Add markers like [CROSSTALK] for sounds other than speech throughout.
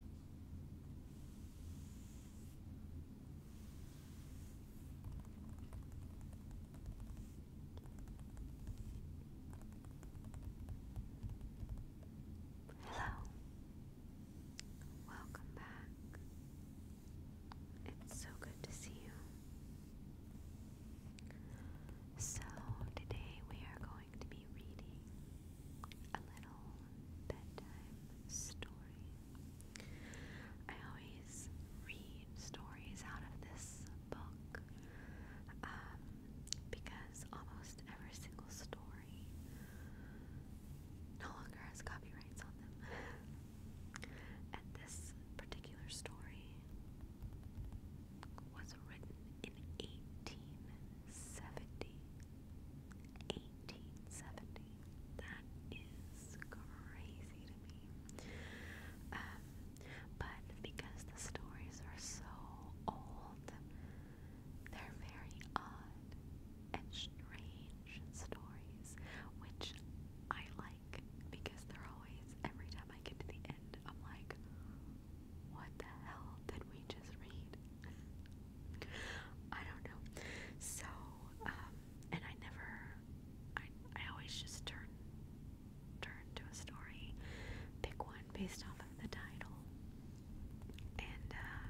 Hello. Welcome back. It's so good to see you. So, today we are going to be be reading a little bedtime story. I always read stories out of this book um, because almost every single story no longer has copyrights on them. [LAUGHS] and this particular story was written in 1870. 1870. That is crazy to me. Um, but because the stories are so old, they're very odd and strange stories, which I like because they're always, every time I get to the end, I'm like, what the hell did we just read? I don't know. So, um, and I never, I, I always just turn, turn to a story, pick one based off of the title, and uh,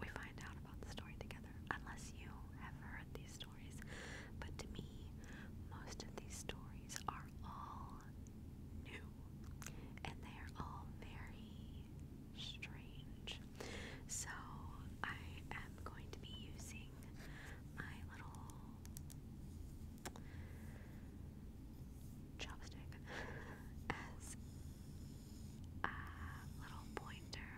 we find out about the story together. Unless you have heard these stories, but to me, most of these stories are all new, and they are all very strange. So, I am going to be using my little chopstick as a little pointer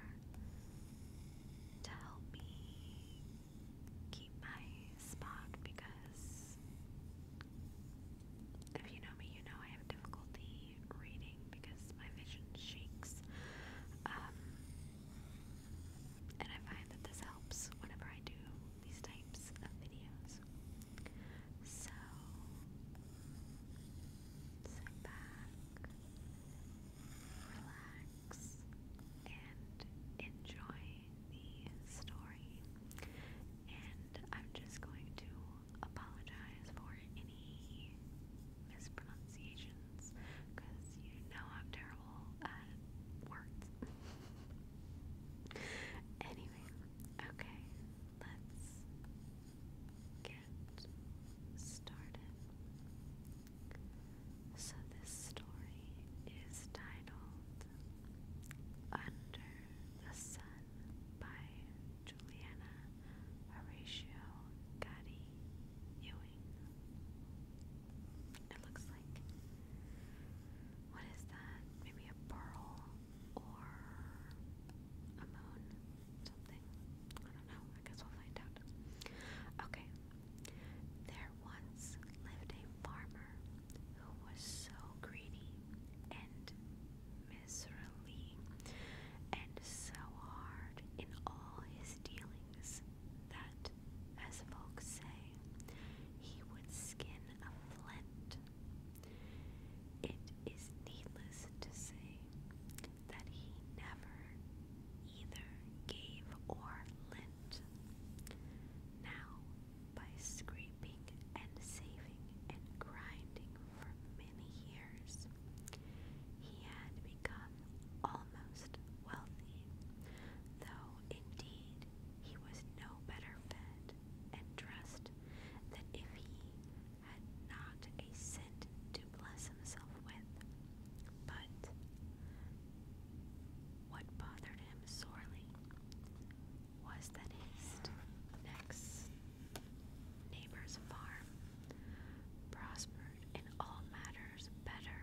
to help me keep my spot because if you know me, you know I have difficulty reading because my vision shakes. Um, and I find that this helps whenever I do these types of videos. So, sit back, relax, and enjoy the story and I'm just going to apologize for any mispronunciations because you know I'm terrible at words. [LAUGHS] anyway, okay, let's get started. So, this story is titled Under the Sun by Juliana Horatio Gatti Ewing. It looks like what is that? Maybe a pearl or a moon? Something. I don't know. I guess we'll find out. Okay. There once lived a farmer farmer who was so greedy and miserly and so hard in all his dealings that, as folks say, he would skin a flint. It is needless to say that he never either gave or lent. Now, by scraping and saving and grinding for many years, he had become almost wealthy, though indeed he was no better fed and dressed than if he had not a cent to bless himself with. But what bothered him sorely was that his next neighbor's farm prospered in all matters better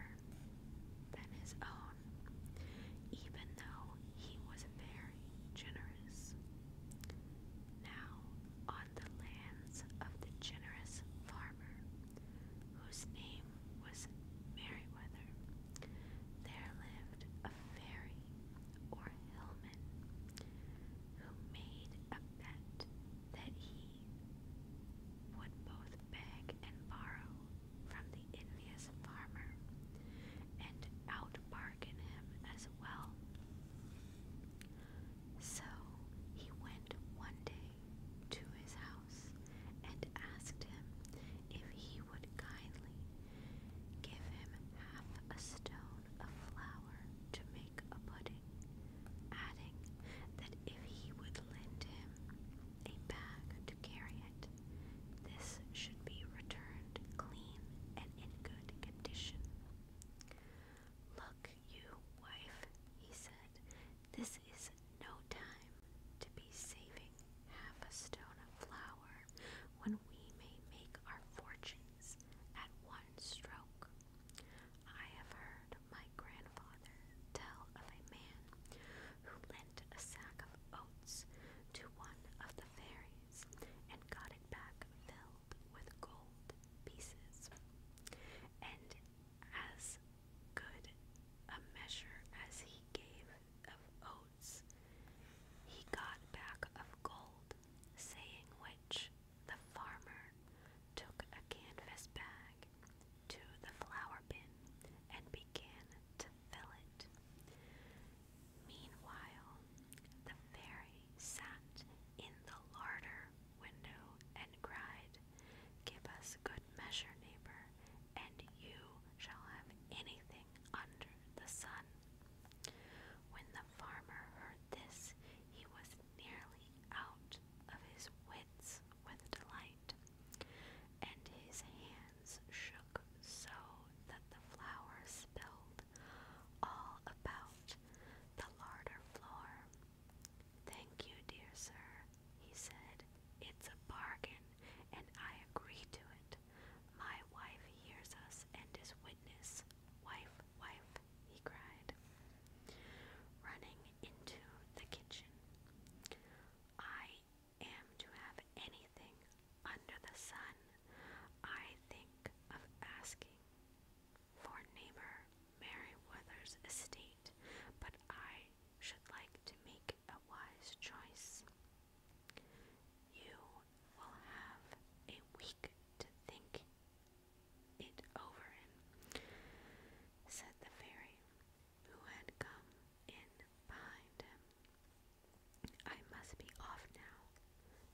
than his own, even though he was very generous. Now, on the lands of the generous farmer, whose name was Meriwether, there lived a fairy or Hillman, who made a bet that he would both beg and borrow from the envious farmer and out him as well. So he went one day to his house and asked him if he would kindly Give him half a stone of flour to make a pudding, adding that if he would lend him a bag to carry it, this should be returned clean and in good condition. Look, you wife, he said, this is no time to be saving half a stone of flour hour when we may make our fortunes at one stroke. I have heard my grandfather tell of a man who lent a sack of oats to one of the fairies and got it back filled with gold pieces. And as good a measure as he gave of he got back of gold, saying which the farmer took a canvas bag to the flour bin and began to fill it. Meanwhile, the fairy sat in the larder window and cried, Give us good measure, neighbor, and you shall have anything under the sun. When the farmer heard this, he was nearly out of his wits with delight, and his hands shook so that the flour spilled all about the floor. Thank you, dear sir, he said. It's a bargain, and I agree to it. My wife hears us and is witness. Wife, wife, he cried, running into the kitchen. I am to have anything under the sun. I think of asking for neighbor Merriweather's estate, but I should like to make a wise choice. You will have a week to think it over said the fairy, who had come in behind him. I must be off now,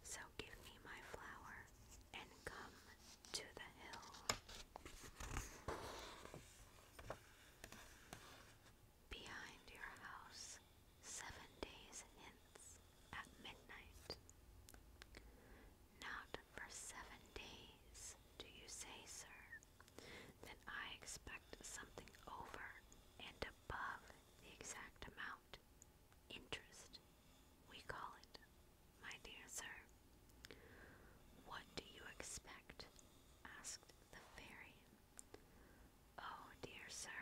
so give me my flower and come to the hill behind your house seven days hence at midnight. Not for seven days, do you say, sir? Then I expect something over and above the exact amount. Interest, we call it, my dear sir. What do you expect? asked the fairy Oh, dear sir,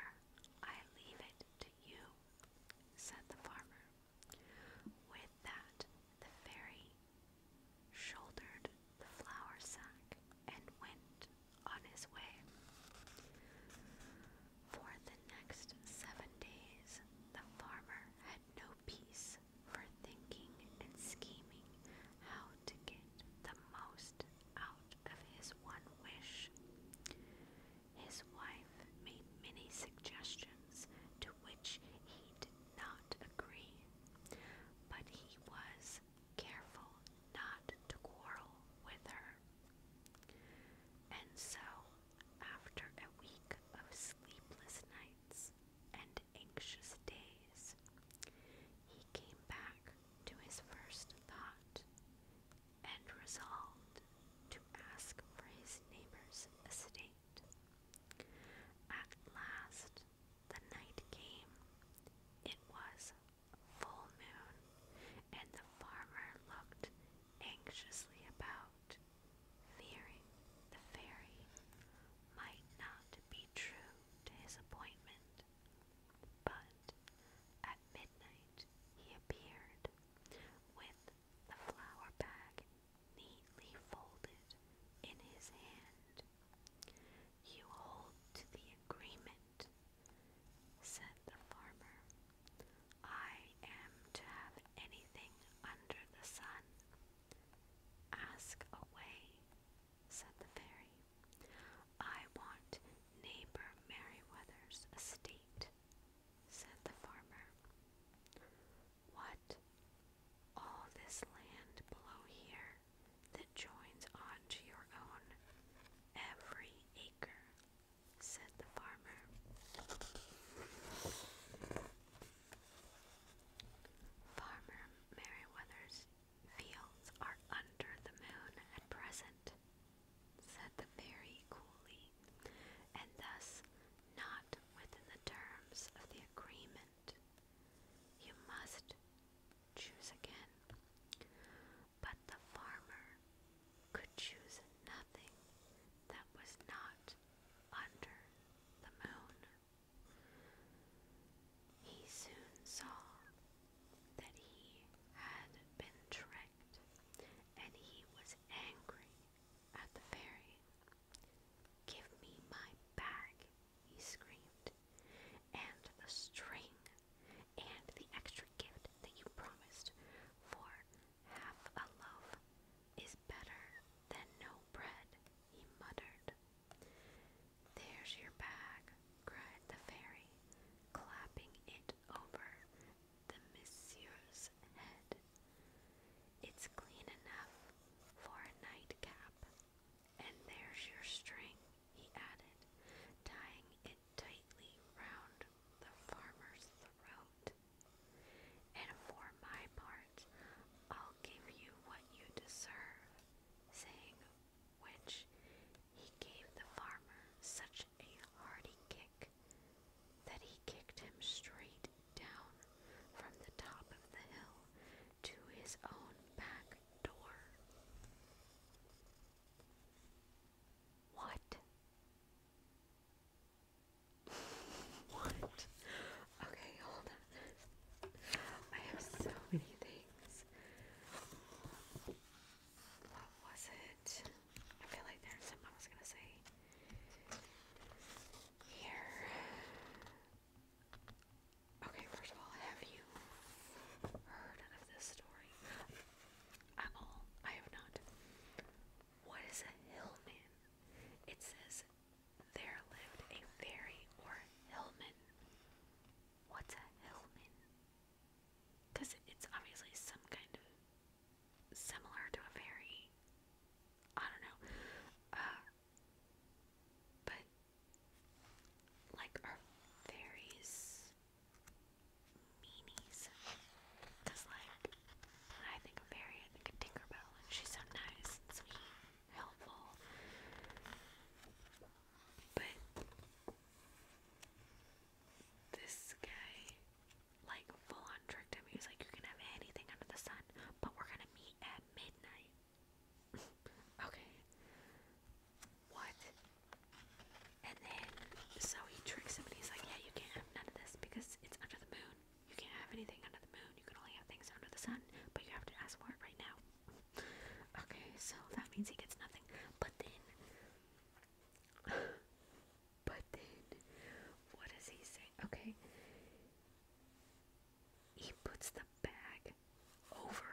I leave it to you, said the farmer. With that, the fairy shouldered the flour sack and went on his way. For the next seven days, the farmer had no peace for thinking and scheming how to get the most out of his one wish. His wife made many suggestions to which he did not agree, but he was careful not to quarrel with her. And so, after a week of sleepless nights and anxious days, he came back to his first thought and resolved to ask for his neighbor's estate. At last the night came. It was full moon, and the farmer looked anxiously about, fearing the fairy might not be true to his appointment. But at midnight he appeared with the flour bag neatly folded in his hand. You hold to the agreement, said the farmer. I am to have anything under the sun. Ask away, said the fairy. I want neighbor Merryweather's estate, said the farmer. What? All this land below here that joins on to your own, every acre, said the farmer. Farmer Merryweather's Fields are under the moon at present, said the fairy coolly, and thus not within the terms of the agreement. You must choose again. But the farmer could choose nothing that was not under the moon. He soon saw that he had been tricked, and he was angry at the fairy. Give me my bag, he screamed, and the string, and the extra gift that you promised, for half a loaf is better than no bread, he muttered. There's your bag, cried the fairy, clapping it over the monsieur's head. It's clean enough for a nightcap. And there's your string, he added, tying it tightly round the farmer's throat. And for my part, I'll give you what you deserve, sang which he gave the farmer such a hearty kick that he kicked him straight down from the top of the hill to his own back door. What? [LAUGHS] what? Okay, hold on. I have so many things what was it? I feel like there's something I was gonna say. Here. Okay, first of all, have you heard of this story at all? I have not. What is a hillman? It says there lived a fairy or hillman. What's a Hillman? Because it's obviously some kind of similar to a fairy. I don't know. Uh, but, like, are fairies meanies? Because, like, I think of fairy, I Tinkerbell, she's so nice and sweet, helpful. But this guy, like, full on tricked him. He was like, You can have anything under the sun, but we're gonna meet at midnight. [LAUGHS] okay. What? And then, so he tricks him and he's like, Yeah, you can't have none of this because it's under the moon. You can't have anything under the moon. You can only have things under the sun, but you have to ask for it right now. Okay, so that means he gets nothing. But then, but then, what does he say? Okay, he puts the bag over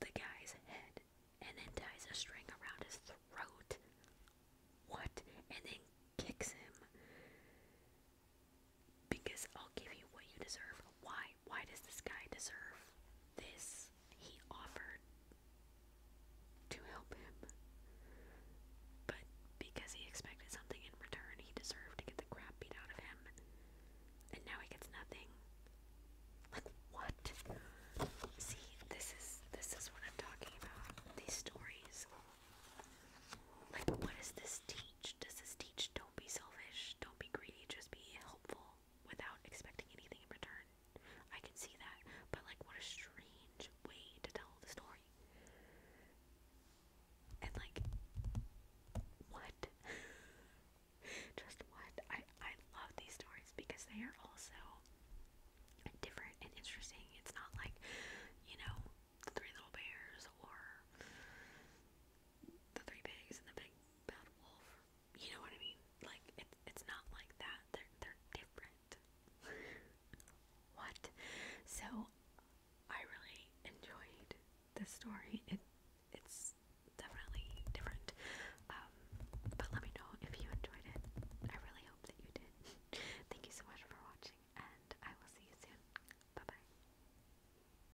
the guy's head and then ties a string around his throat. What? And then kicks him because I'll give you what you deserve. Why? Why does this guy deserve this? He offered to help him, but because he expected something in return, he deserved to get the crap beat out of him, and now he gets nothing. Like what? See, this is this is what I'm talking about. These stories. Like, what is this tea? Does this teach don't be selfish, don't be greedy, just be helpful without expecting anything in return? I can see that, but like, what a strange way to tell the story. And like, what? [LAUGHS] just what? I I love these stories because they are also different and interesting. It's not like, you know, Three Little Bears or the three pigs and the big bad wolf. You know what I mean? Like it, it's not like that. They're they're different. [LAUGHS] what? So I really enjoyed the story. It it's definitely different. Um, but let me know if you enjoyed it. I really hope that you did. [LAUGHS] Thank you so much for watching, and I will see you soon. Bye bye.